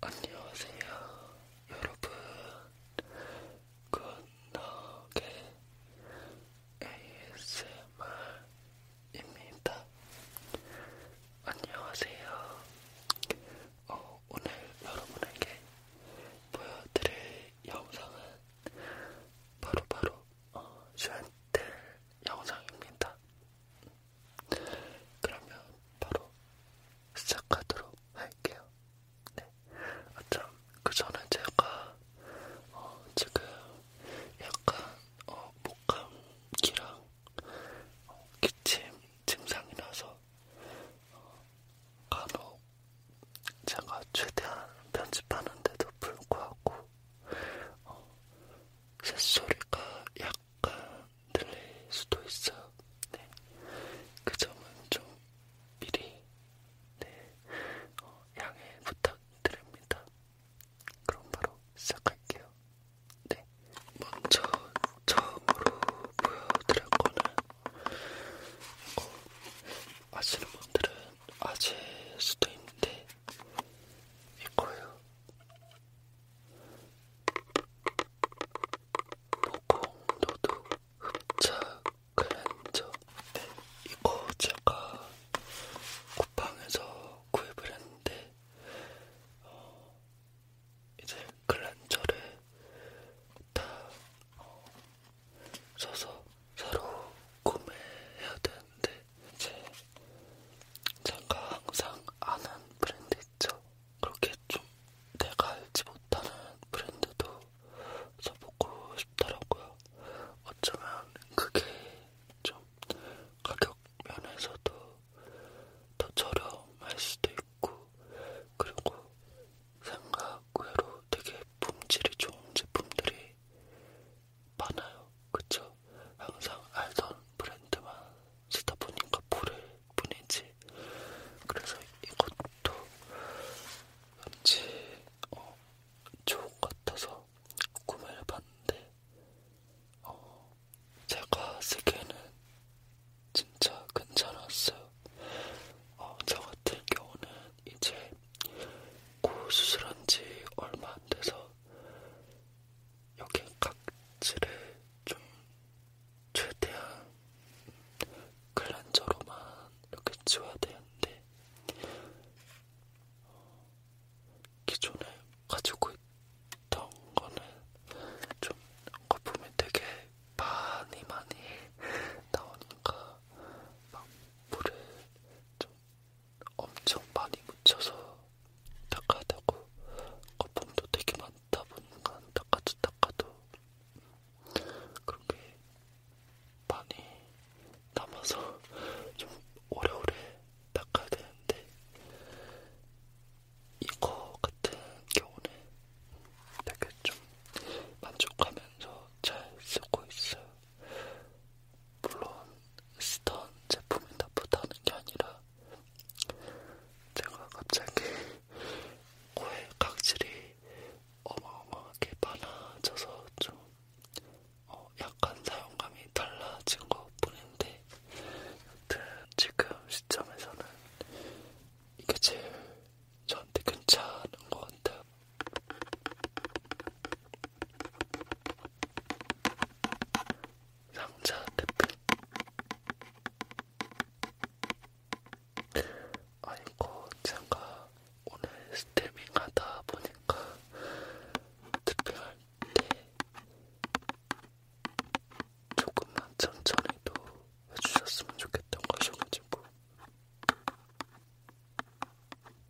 안녕하세요, 여러분. 굿나게 ASMR입니다. 안녕하세요. 어, 오늘 여러분에게 보여드릴 영상은 바로바로 어, 쉔텔 영상입니다. 그러면 바로 시작하도록 할게요. 네. 아, 참, 그 전에 제가 어, 지금 약간 어, 목감기랑 어, 기침 증상이라서 어, 간혹 제가 최대한 편집하는데도 불구하고 어, 새소리가 약간 들릴 수도 있어요. 네. 그 점은 좀 미리 네. 어, 양해 부탁드립니다. 그럼 바로 시작할게요. 네. 먼저 처음으로 보여드릴 거는 어, 이거 아시는 분들은 아실 수도 있는데 있고요. 모공노드 흡착 클렌저 네, 이거 제가 쿠팡에서 구입을 했는데 어, 이제 클렌저를 다 어, 써서 새로 구매해야 되는데 이제 제가 항상 아는 브랜드 있죠? 그렇게 좀 내가 알지 못하는 브랜드도 써보고 싶더라고요. 어쩌면 그게 좀 가격 면에서도 더 저렴할 수도 있고 그리고 생각 외로 되게 품질이 좋은 제품들이 많아요. 그쵸? 항상 알던 브랜드만 쓰다 보니까 모를 뿐이지. 그래서 이것도 왠지 어, 좋은 것 같아서 구매를 해봤는데, 어, 제가 쓰기에는 진짜 괜찮았어요. 어, 저 같은 경우는 이제 코 수술한 지 얼마 안 돼서 여기 각질을 좀 최대한 클렌저로만 이렇게 지워야 되는데 어, 기존에 가지고 있던 거는 좀 거품이 되게 많이 많이 나오니까 막 물을 좀 엄청 많이 묻혀서 닦아야 되고 거품도 되게 많다 보니까 닦아도 닦아도 그렇게 많이 남아서 좀 오래오래 닦아야 되는데 이거 같은 경우는 되게 좀 만족하면서 잘 쓰고 있어요. 물론 쓰던 제품이 나쁘다는 게 아니라 제가 갑자기 코에 각질이 어마어마하게 많아져서 좀 어, 약간 사용감이 달라진 것 뿐인데 여튼 지금 시점에서는 이게 제일 저한테 괜찮은 것 같아요. 상자 테프 아이고 제가 오늘 스태밍 하다 보니까 특별할 때 조금만 천천히도 해주셨으면 좋겠던 것이어가지고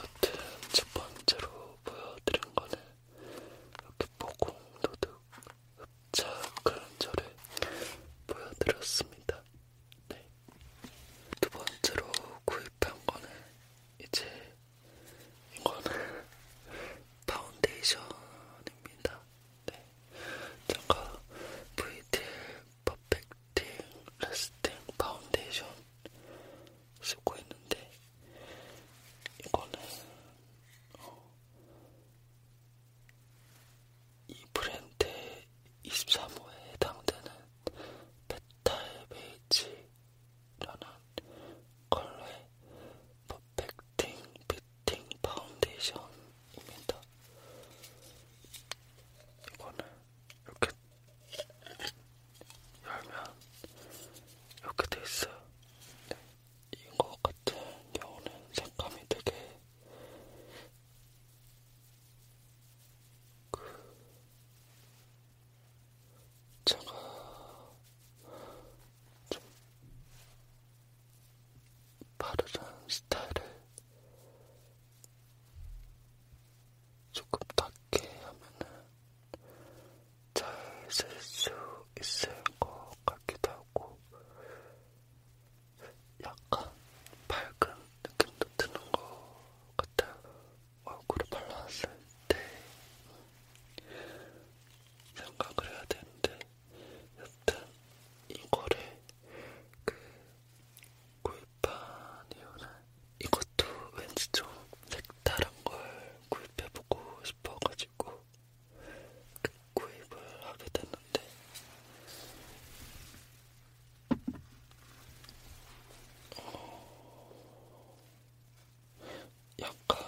여튼 첫 번째로 보여드린 거는 이렇게 보공도둑 흡착 그런저를 보여드렸습니다. 네. 두 번째로 구입한 거는 이제 이거는 파운데이션입니다. 네. 제가 VTL 퍼펙팅 라스팅 파운데이션 쓰고 있는데 이거는 어, 이 브랜드의 23호에 해당되는 메탈 베이지라는 컬러의 퍼펙팅 슈팅 파운데이션입니다. 이거는 이렇게 열면 이렇게 돼 있어요. 네. 이거 같은 경우는 색감이 되게 그 제가 좀 바르는 스타일을 조금 닦게 하면은 잘쓸 수 있을 것 같기도 하고 약간 밝은 느낌도 드는 것 같아요. 얼굴에 발랐을 때 생각을 해야 되는데 여튼 이거를 그 구입한 이유는 이것도 왠지 좀 색다른 걸 구입해보고 싶어가지고 그 구입을 하게 됐는데 어... 약간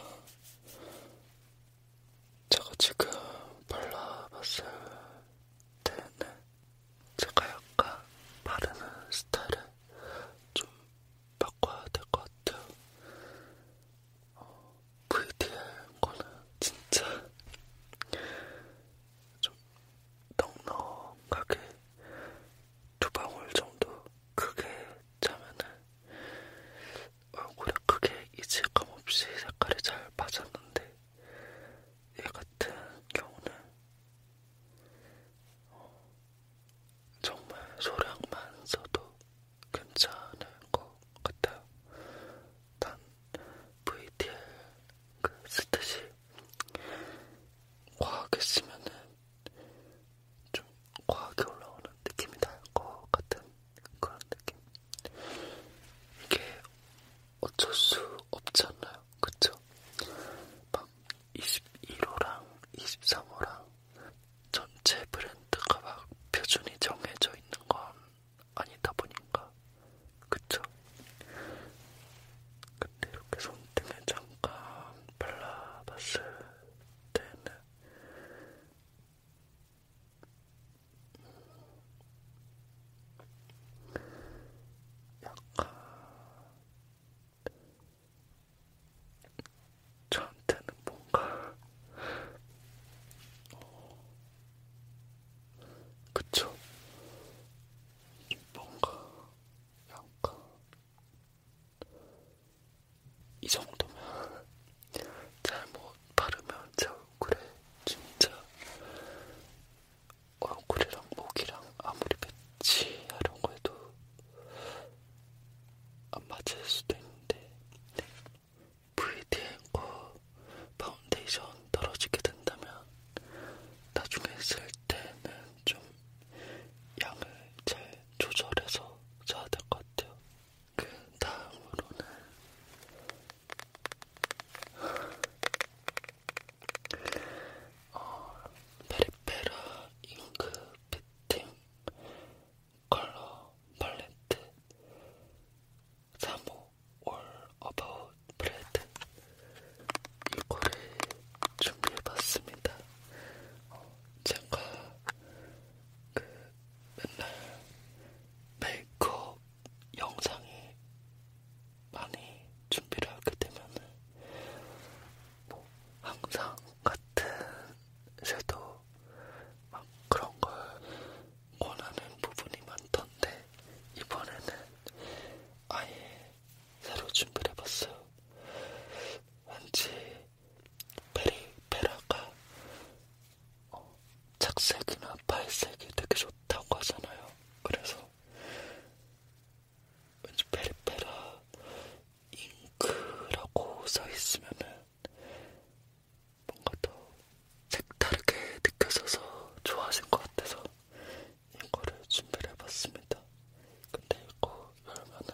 제가 지금 발라봤을 때는 제가 약간 바르는 스타일을 좀 바꿔야 될 것 같아요. 어, VDL 그 거는 진짜 좀 넉넉하게 두 방울 정도 크게 짜면은 얼굴에 크게 이질감 없이 색깔이 잘 맞았는데 얘 같은 경우는 어, 정말 소량만 써도 괜찮을 것 같아요. 단 VTL 그 쓰듯이 과하게 쓰면은 좀 과하게 올라오는 느낌이 날것 같은 그런 느낌. 이게 어쩔 수 없지 않나요? 그쵸? 막 21호랑 23호랑 전체 브랜드가 막 표준이 정해져 있는 건 아니다 보니까 그쵸? 근데 이렇게 손등에 잠깐 발라봤을 때는 약간 저한테는 뭔가 어... 그쵸? 뭔가 약간 이 정도면 잘못 바르면 제 얼굴에 진짜 얼굴이랑 목이랑 아무리 배치하려고 해도 안 맞을 수도 있는데 VDM과 파운데이션 떨어지게 된다면 나중에 쓸 때는 좀 양을 잘 조절해서 써야 될 것 같아요. 그 다음으로는 어, 페리페라 잉크 피팅 컬러 팔레트 3호 All About Bread 이거를 준비해봤습니다. 어, 제가 그 맨날 메이크업 영상에 많이 준비를 하게 되면은 뭐 항상 같은 섀도우 막 그런 걸 원하는 부분이 많던데 이번에는 아예 새로 준비를 해봤어요. 왠지 베리 베라가 어, 착색이나 팔색이 되게 좋다고 하잖아요. 그래서 왠지 페리페라 잉크라고 써있으면은 뭔가 더 색다르게 느껴져서 좋아하신 것 같아서 이거를 준비를 해봤습니다. 근데 이거 열면은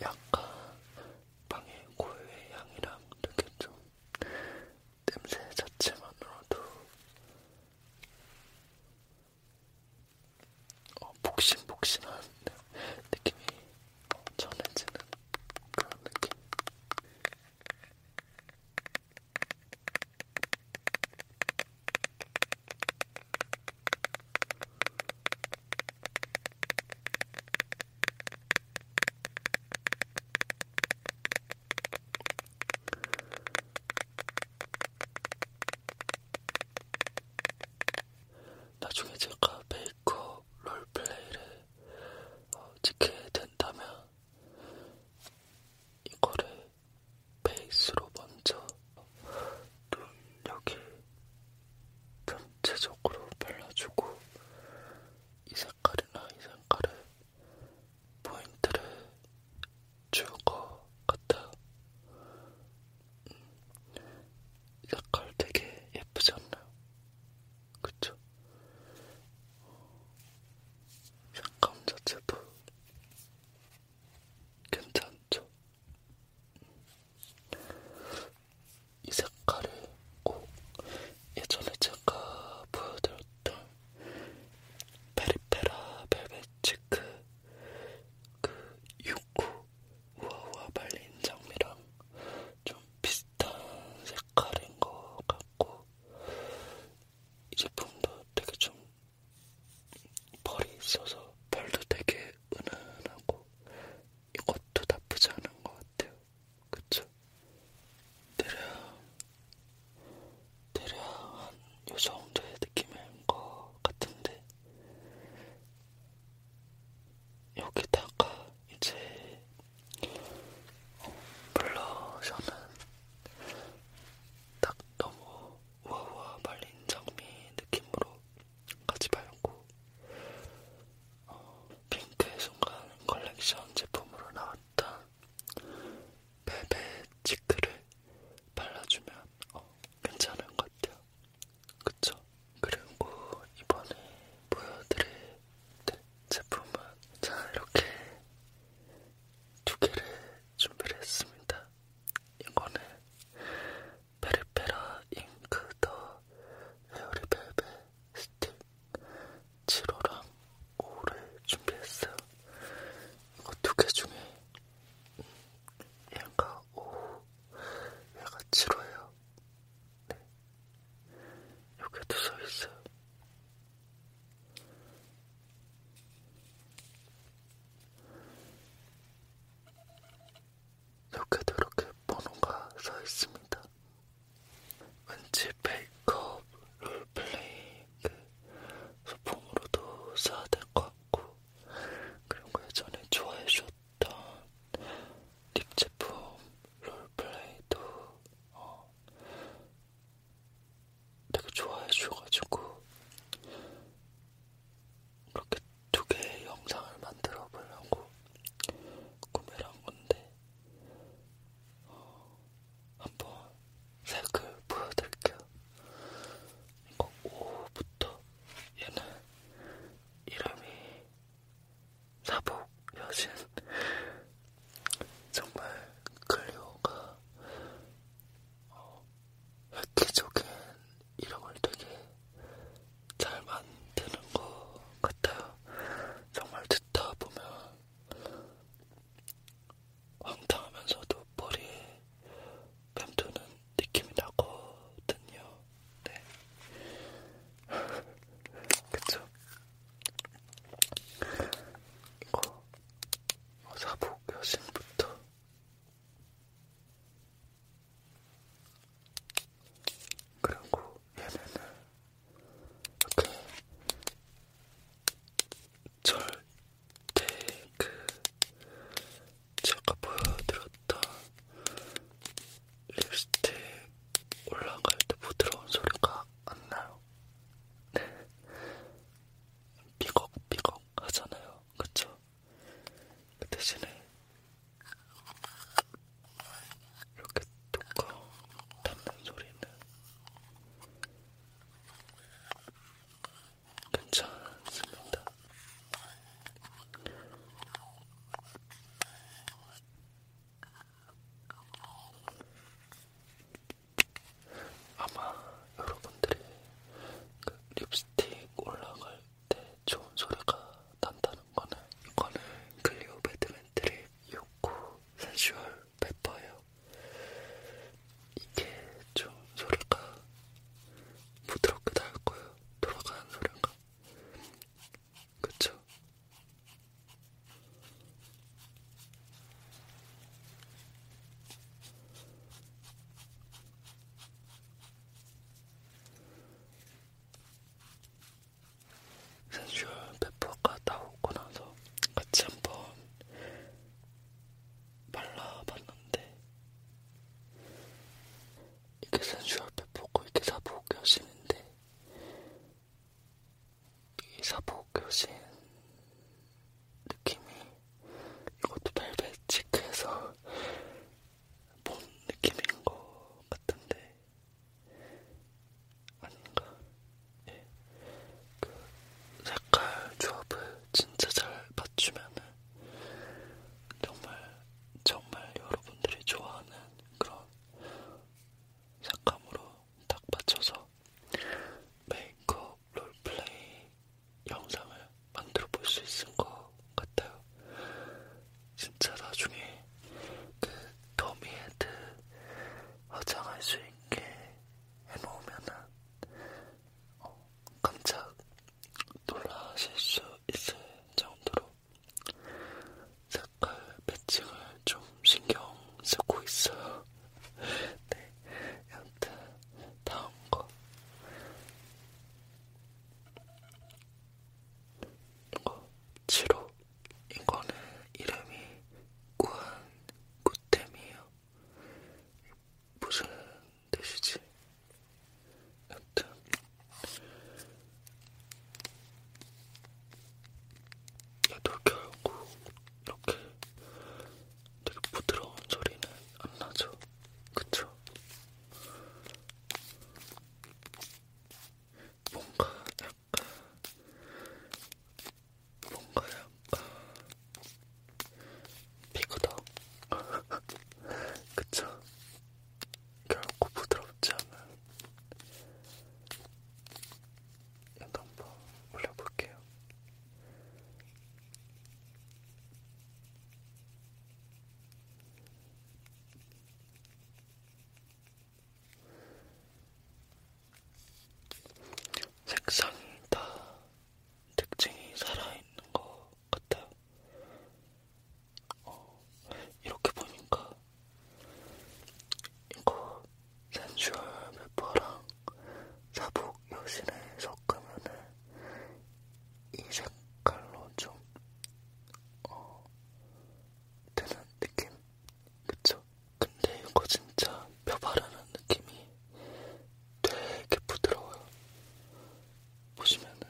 약간 빵의 고유의 향이랑 느꼈죠. 냄새 자체만으로도 어, 복신복신한 느낌이 전해지는 그런 느낌. 나중에 제가 메이크업 롤플레이를 어, 찍게 된다면 이거를 베이스로 먼저 어, 눈 여기 전체적으로 발라주고 이 색깔이나 이 색깔의 포인트를 줄 것 같아요. 이 음, 색깔 되게 예쁘지 않나요? 그쵸? 색감 자체도 괜찮죠? 이 색깔을 꼭 예전에 제가 보여드렸던 페리페라 벨벳 치크 그 육구 우아우아 말린 장미랑 좀 비슷한 색깔인 것 같고 이 제품도 되게 좀 벌이 있어서 벌도 되게 되게 은은하고 이것도 나쁘지 않은 것 같아요. 그쵸? 대략, 대략 한요 정도의 느낌인 것 같은데 여기다가 이제 어, 블러셔는 딱 너무 우아우아 말린 장미 느낌으로 가지 말고 어, 핑크의 순간 컬렉션 제품으로 나왔던 베베 치크를 발라주면 어, 괜찮은 것 같아요. 그쵸? 그리고 이번에 보여드릴 네, 제품은 자 이렇게 두 개를 준비를 했습니다. 이거는 페리페라 잉크 더 헤어리벨벳 스틱 7호랑 5호를 준비했어요. 이거 두개 중에 음, 얘가 5호, 얘가 7호예요. 네. 여기도 써있어요. 이렇게도 이렇게 번호가 써 있습니다. 왠지 페이크업, 롤플레이 소품으로도 써야 될 것 같고 그리고 예전에 좋아해주셨던 립 제품 롤플레이도 어, 되게 좋아해주셔가지고 그렇게 두 개의 영상을 만들어 보려고 구매를 한 건데, 어, 한번 색을 보여드릴게요. 이거 5부터 얘는 이름이 사복 여신. 정말 클리오가 어, 획기적인 이런 걸 되게 잘 만드는 것 같아요. 정말 듣다 보면 황당하면서도 머리에 맴도는 느낌이 나거든요. 네. 그쵸? 이거 사복 여신부터 그리고 얘네는 이렇게 절대 그 제가 보여드렸던 립스틱 올라갈 때 부드러운 소리가 안 나요. 네. 삐걱삐걱 하잖아요. 그쵸? 그 대신에 이렇게 뚜껑 닫는 소리는 괜찮습니다. 아마 여러분들이 그 립스틱 올라갈 때 좋은 소리가 난다는 거는 이거는 클리오 배드맨트릭 요코 센슈얼 페퍼예요. 이게 좀 소리가 부드럽게 날 거예요. 돌아가는 소리가. 그쵸? 센슈얼 페퍼가 나오고 나서 같이 한번 발라봤는데 이게 센슈얼 페퍼고 이게 사복 여신인데 이 사복 여신 느낌이 이것도 벨벳 치크해서 본 느낌인 것 같은데 아닌가? 예. 그 색깔 조합을 진짜 잘 맞추면은 정말 정말 여러분들이 좋아하는 그런 색감으로 딱 맞춰서 메이크업, 롤플레이, 영상을 만들어 볼 수 있을 것 같아요. 진짜 나중에 그 더미헤드 화장할 수 있게 해놓으면은 어, 깜짝 놀라실 수 있을 정도로 색깔 매칭을 좀 신경 쓰고 있어요. 네, 여튼 다음 거 뭔가 치로 이거는 이름이 꾸안 꾸템이에요. 무슨 뜻이지? 여튼 얘도 결국 이렇게 되게 부드러운 소리는 안 나죠? 그쵸? 뭔가 약간 뭔가 약간 피그덕 그쵸? 결코 부드럽지 않은 이거 한번 올려볼게요. 색상이 다 특징이 살아있는 것 같아요. 어, 이렇게 보니까 이거 센슈얼 메퍼랑 사복 여신에 섞으면은 이 색깔로 좀 어, 되는 느낌? 그쵸? 근데 이거 진짜 뼈 바르는 느낌이 되게 부드러워요. 보시면은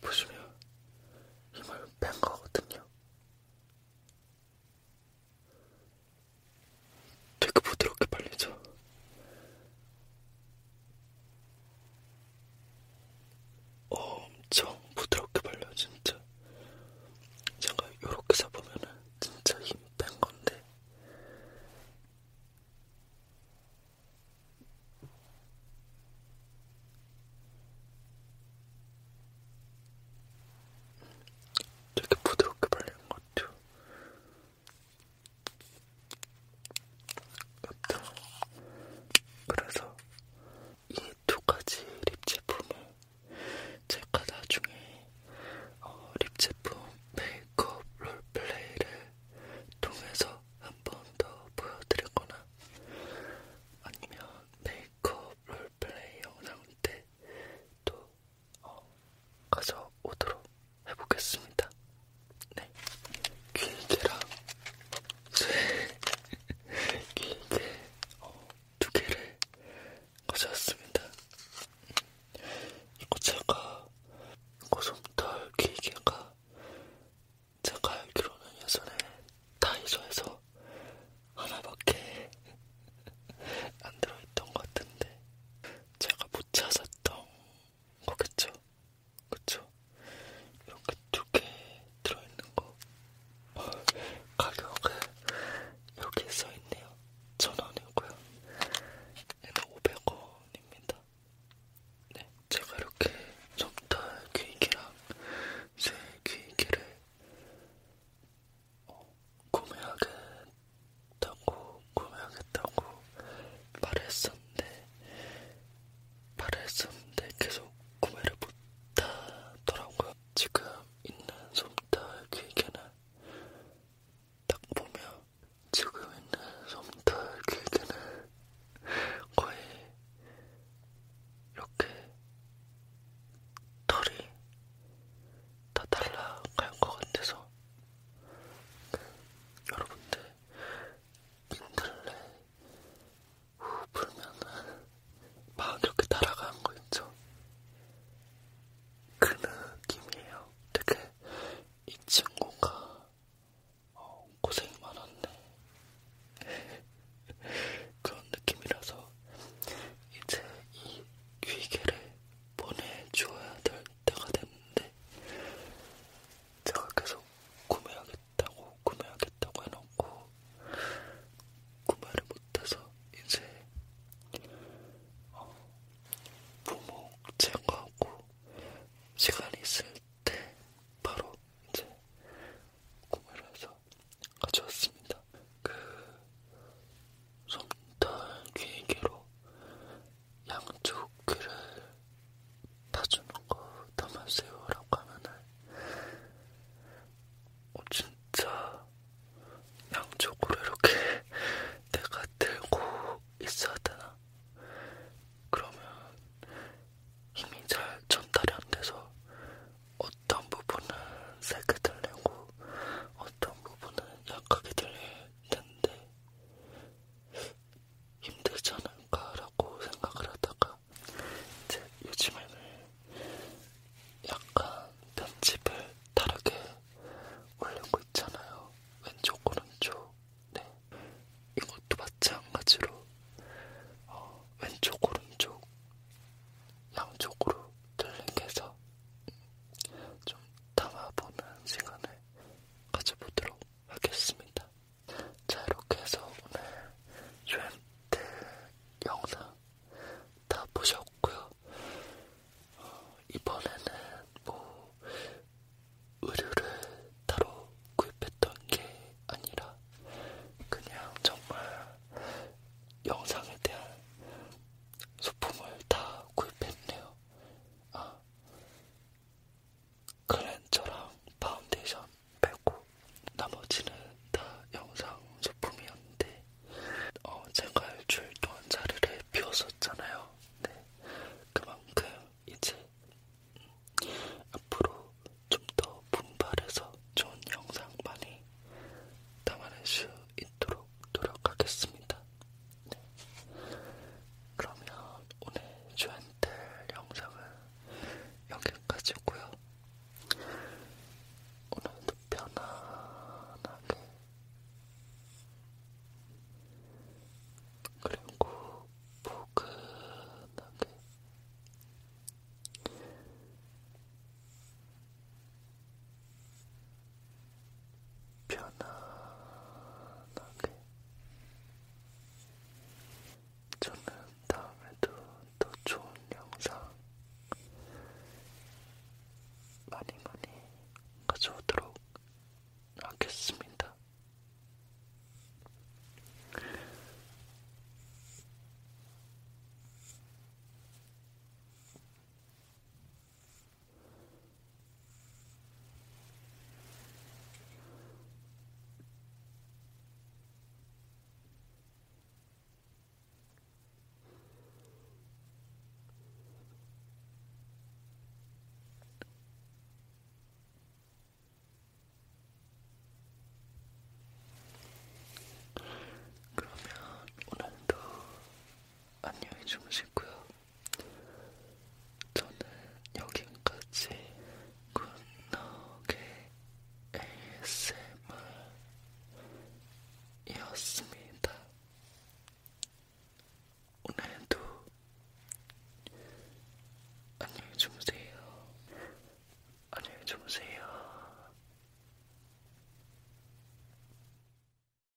보시면 힘을 뺀 거거든요. 되게 부드럽게 발리죠. 엄청 부드럽게 발려 진짜. 제가 요렇게 잡으면은 진짜 힘뺀 건데. 되게 부드럽게 발리는 것 같아요. 같아. 그래서 이 두 가지 립 제품을 제가 나중에 어, 립 제품 메이크업 롤플레이를 통해서 한 번 더 보여드리거나 아니면 메이크업 롤플레이 영상 때또 어, 가져오도록 해보겠습니다. 네, 길게랑 길게 어, 두 개를 가져왔습니다. 이거 제가 이거 좀덜 길게가 제가 알기로는 예전에 다이소에서 하나밖에 안 들어있던 것 같은데 제가 못 찾았던 거겠죠? 그쵸? 이렇게 두 개 들어있는 거 가격은 여기 써있네요. 천원이고요. 얘는 500원입니다. 네, 제가 이렇게 정탈 귀이기랑 쇠 귀이기를 어, 구매하겠다고 구매하겠다고 말했었는데 말했었는데 계속 구매를 못하더라고요. 지금 있는 솜털 길게는 딱 보면 지금 있는 솜털 길게는 거의 이렇게 털이 다 달라갈 것 같아서 그, 여러분들 민들레 후 불면은 막 이렇게 따라가는 거 있죠? 그 느낌이에요. 되게 이 친구가 어, 고생 많았네. 그런 느낌이라서 이제 이 귀개를 보내주어야 될 있다가 됐는데 제가 계속 구매하겠다고 구매하겠다고 해놓고 구매를 못해서 이제 어, 부목 제거하고 시간이 있을 때 바로 이제 구매를 해서 가져왔습니다. 그 솜털 귀개로 양쪽 귀를 다주는 거 담아세요라고 하면은 어, 진짜 양쪽으로 이렇게 내가 들고 있어야 되나? 그러면 힘이 잘 전달이 안 돼서 어떤 부분은 세게 들리고 어떤 부분은 약하게 들릴 텐데 힘들지 않을까라고 생각을 하다가 이제 요즘에는 약간 편집을 다르게 올리고 있잖아요. 왼쪽 오른쪽. 네. 이것도 마찬가지로 어, 왼쪽 오른쪽 양쪽으로 들리게 해서 좀 담아보는 시간을 시간을 가져보도록 하겠습니다. 자, 이렇게 해서 오늘 유엔트 영상 다 보셨고요. 어, 이번에는 뭐 의류를 따로 구입했던 게 아니라 그냥 정말 영상에 대한 소품을 다 구입했네요. 아, 클렌저랑 파운데이션 빼고 나머지는 다 영상 소품이었는데 어, 제가 일주일 동안 자리를 비웠었잖아요. 네, 그만큼 이제 앞으로 좀 더 분발해서 좋은 영상 많이 담아낼 수 있도록 노력하겠습니다. 네. 그러면 오늘 주한테 영상은 여기까지고요. 오늘도 편안하게 그리고 포근하게 편안하게 저는 다음에도 더 좋은 영상 많이 많이 가져오도록 하겠습니다. 그러면 오늘도 안녕히 주무시고요. 저는 여기까지 굿노게 ASMR이었습니다. 오늘도 안녕히 주무세요. 안녕히 주무세요.